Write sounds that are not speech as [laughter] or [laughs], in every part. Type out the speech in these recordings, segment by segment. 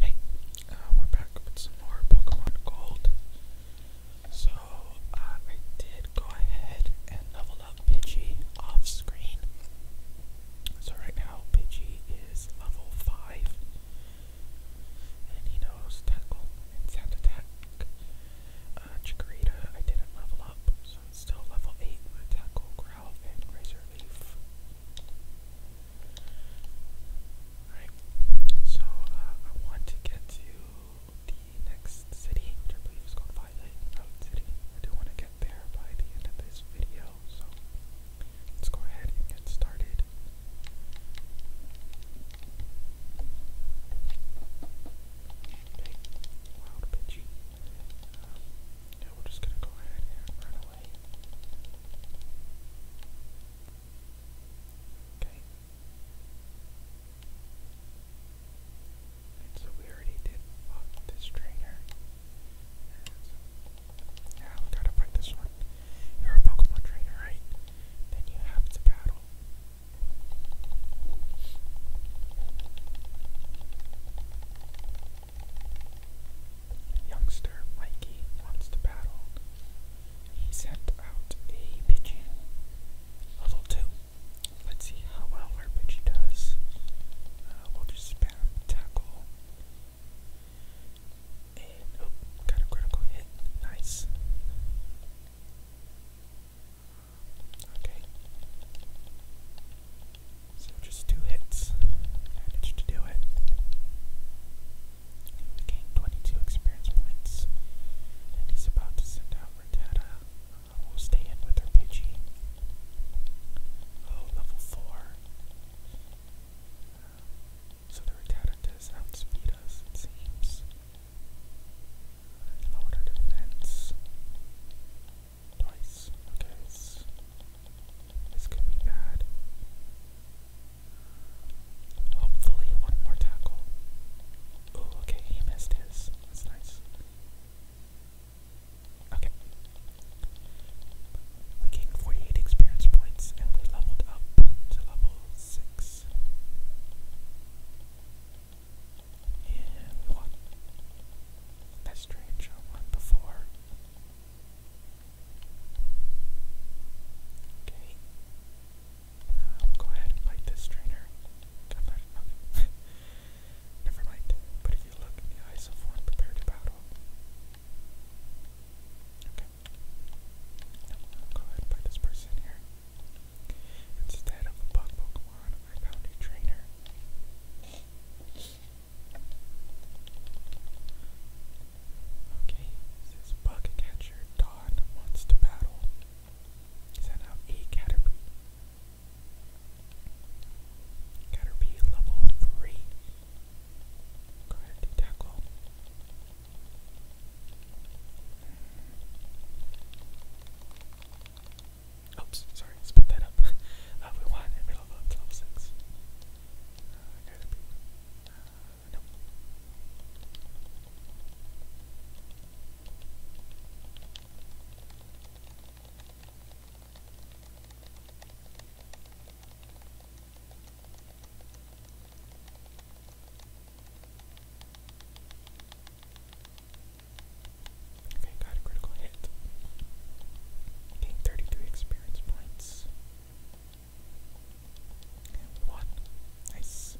Hey, uh, we're back with some more Pokemon Gold. So, uh, I did go ahead and level up Pidgey off screen. So, right now, Pidgey is level 5, and he knows Tackle and Sound Attack. Uh, Chikorita, I didn't level up, so still level 8 with Tackle, Ralph and so uh, I want to get to the next city, I believe is called Violet Road City. I do want to get there by the end of this video, so let's go ahead and get started. wild Pidgey. Yeah, we're just gonna go ahead and run away. Okay. so we already did fuck this trainer. And we gotta fight this one. You're a Pokemon trainer, right? Then you have to battle. Youngster Mikey wants to battle. He sent out a Pidgey. Level 2. Let's see how well our Pidgey does. Uh, we'll just spam tackle. And, oh, got a critical hit. Nice. Okay. So just two hits. Managed to do it. gained 22 experience points. And he's about to send out Rattata. Uh, we'll stay in with her Pidgey. Oh, level 4. Uh, so the Rattata does outspeed us, it seems. And uh, defense. Twice. Okay, this, could be bad. Hopefully, one more tackle. Oh, okay, he missed his. That's nice. Okay. We gained 48 experience points and we leveled up to level 6. And what? That's strange. I before. Okay. Uh, um, will go ahead and fight this trainer. [laughs] Never mind. But if you look in the eyes of one prepared to battle. Okay. Now we'll go ahead and fight this person here. Instead of a bug Pokemon. I found a trainer. Okay, this bug catcher Don wants to battle. Send out a Caterpie. Caterpie level 3. Go ahead and tackle. Oops, sorry, split that up. [laughs] Uh, we want in the middle of level 6. Uh, gotta be. Uh, nope. Okay, got a critical hit. Gain experience points. one. Nice.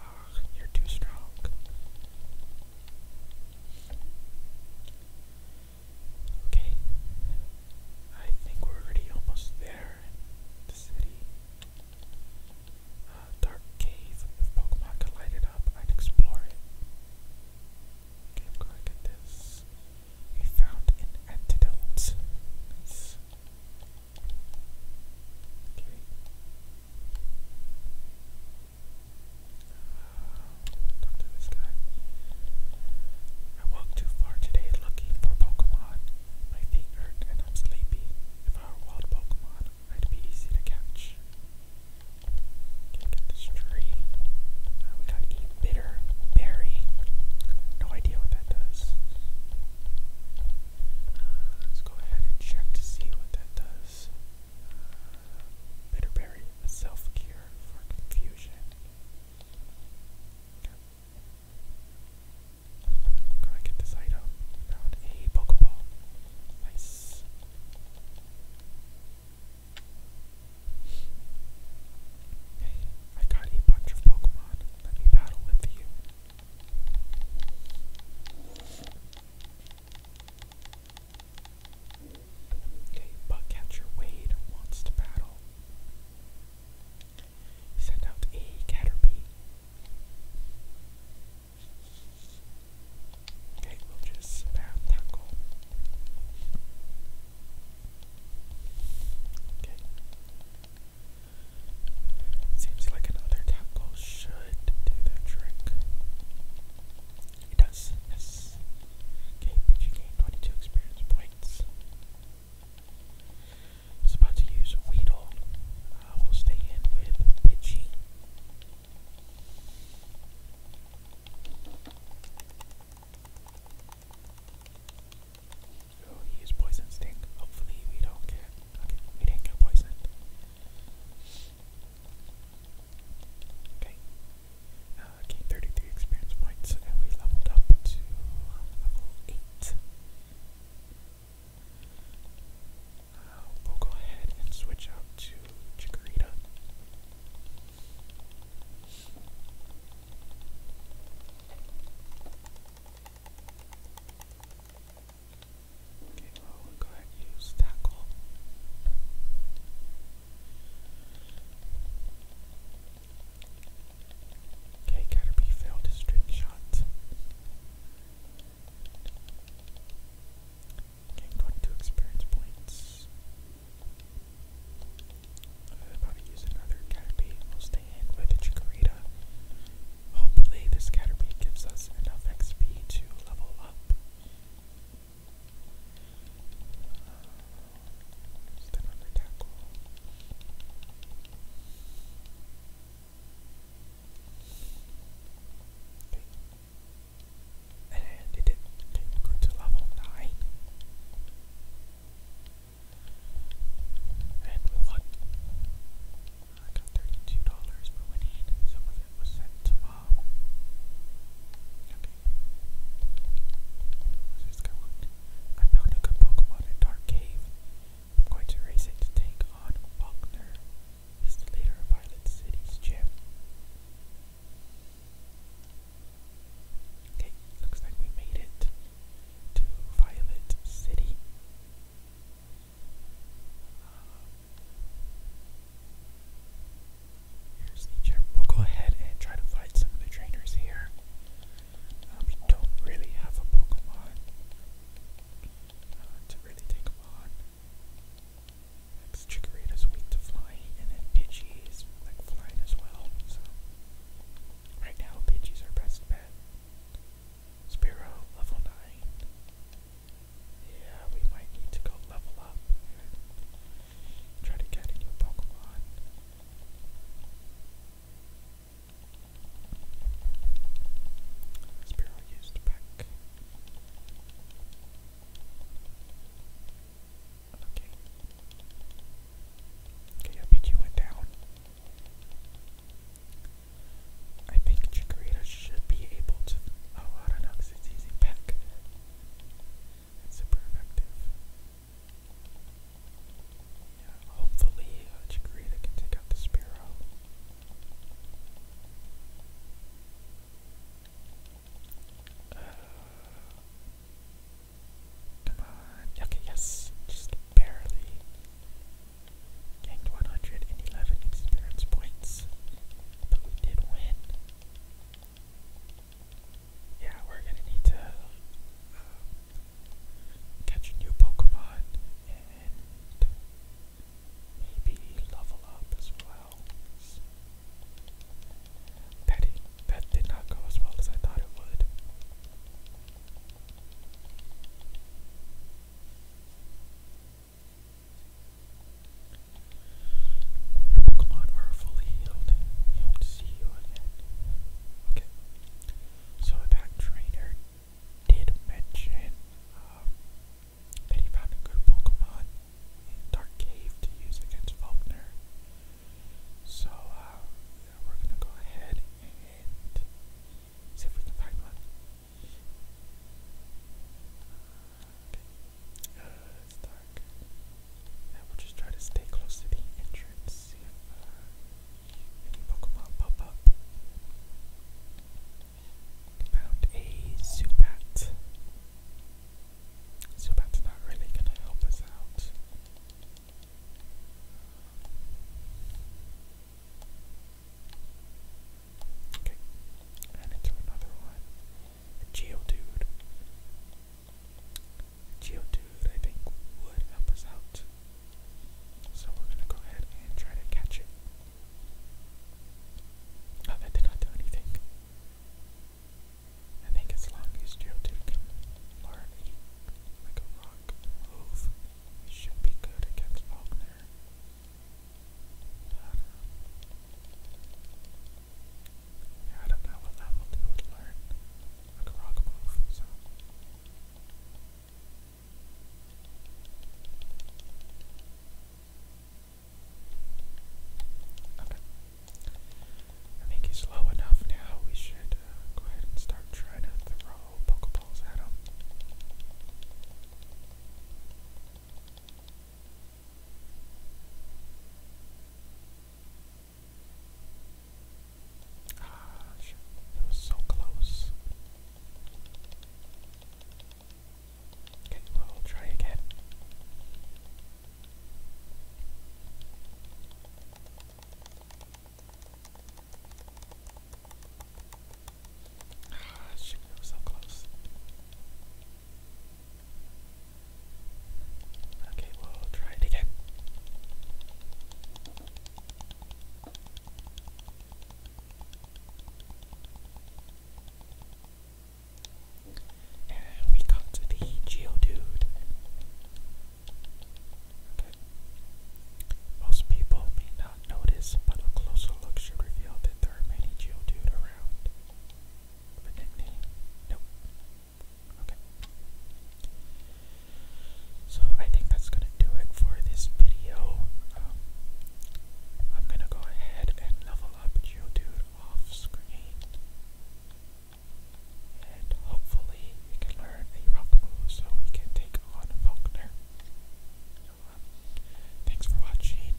Ah, you're too strong. Okay. I think we're already almost there. The city dark cave. If Pokemon could light it up, I'd explore it. Okay, I'm this. He found an antidote. Okay. Ah, talk to this guy. I walked too far today looking for Pokemon. My feet hurt and I'm sleepy. If I were wild Pokemon, I'd be easy to catch. Can't get this tree. Uh, we got a bitter berry. No idea what that does. Uh, let's go ahead and check to see what that does. Uh, Bitterberry, a self cure for confusion. Gotta get this item. Found a Pokeball. Nice. Hey, I got a bunch of Pokemon. Let me battle with you. Okay, Buck Catcher Wade wants to battle. He out a Caterpie. Okay, we'll just spam Okay. Seems like another tap should do that trick. It does, yes. Okay, Pidgey gained 22 experience points. I was about to use Weedle. I will stay in with Bitchy. Oh, he used poison sting. Hopefully, we don't Okay, we didn't get poisoned. Okay. Uh, gained 33 experience points, and we leveled up to level 8 we'll go ahead and switch out to Chikorita. Okay, well, will go ahead and use Tackle. Okay, Caterpie failed his trick shot. Gain 22 experience points. I'll probably use another Caterpie. We'll stay in with Chikorita. Hopefully, this Caterpie gives us enough XP to level up. Uh, tackle. Okay. And I did it. Okay, go to level 9. And we won. I got $32 for winning. Some of was sent to mom. Okay. I found a good Pokemon in Dark Cave. I'm going to race it to take on Wagner. He's the leader of Violet City's gym. Okay, looks like we made it to Violet City. Uh, here's the gym. We'll go ahead and try to fight some of the trainers here. Um, we don't really have a Pokemon uh, to really take them on. Because Chikorita's weak to Fly, and then Pidgey is like flying as well. So right now, Pidgey's our best bet. Spiro, level nine. Yeah, we might need to go level up and try to get a new Pokemon. Spear used pack. Okay. Okay, LPG went down. I think Chikorita should be able to. Oh, I don't know because it's using pack. It's super effective. Yeah, hopefully, uh, can take out the spear. Uh, come on. Okay, yes. Just barely gained 111 experience points. But we did win. Yeah, we're gonna need to uh, catch a new Pokemon, and maybe level up as well. That, that did not go as well as I thought it would. Your Pokemon are fully healed. We hope to see you again. Okay. So that trainer did mention um, that he found a good Pokemon in Dark Cave to use against Faulkner. So uh, we're gonna go ahead and see if we can find one. Okay. Uh, it's dark. Yeah, will just try to stay close to the entrance, Pokemon pop up? Found a Zubat. Zubat's not really gonna help us out. Okay, and into another one. A Geodude. Geo Geodude, I think, would help us out. So we're gonna go ahead and try to catch it. Oh, that did not do anything. I think as long as Geodude can learn like a rock move, it should be good against Faulkner. I don't know. I don't know what level they would learn like a rock move, I think he's low enough now. We should uh, go ahead and start trying to throw Pokeballs at him. Ah, shit. That was so close. Okay, we'll try again. Ah, shit, that was so close. Okay, we'll try it again. And we come to the Geodude. Okay. Most people may not notice, but a closer look should reveal that there are many Geodude around. The nickname? Nope. Okay. So I think that's gonna do it for this video. Um, I'm gonna go ahead and level up Geodude off screen. And hopefully we can learn a rock move so we can take on Faulkner. Um, thanks for watching,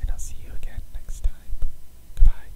and I'll see you again next time. Goodbye.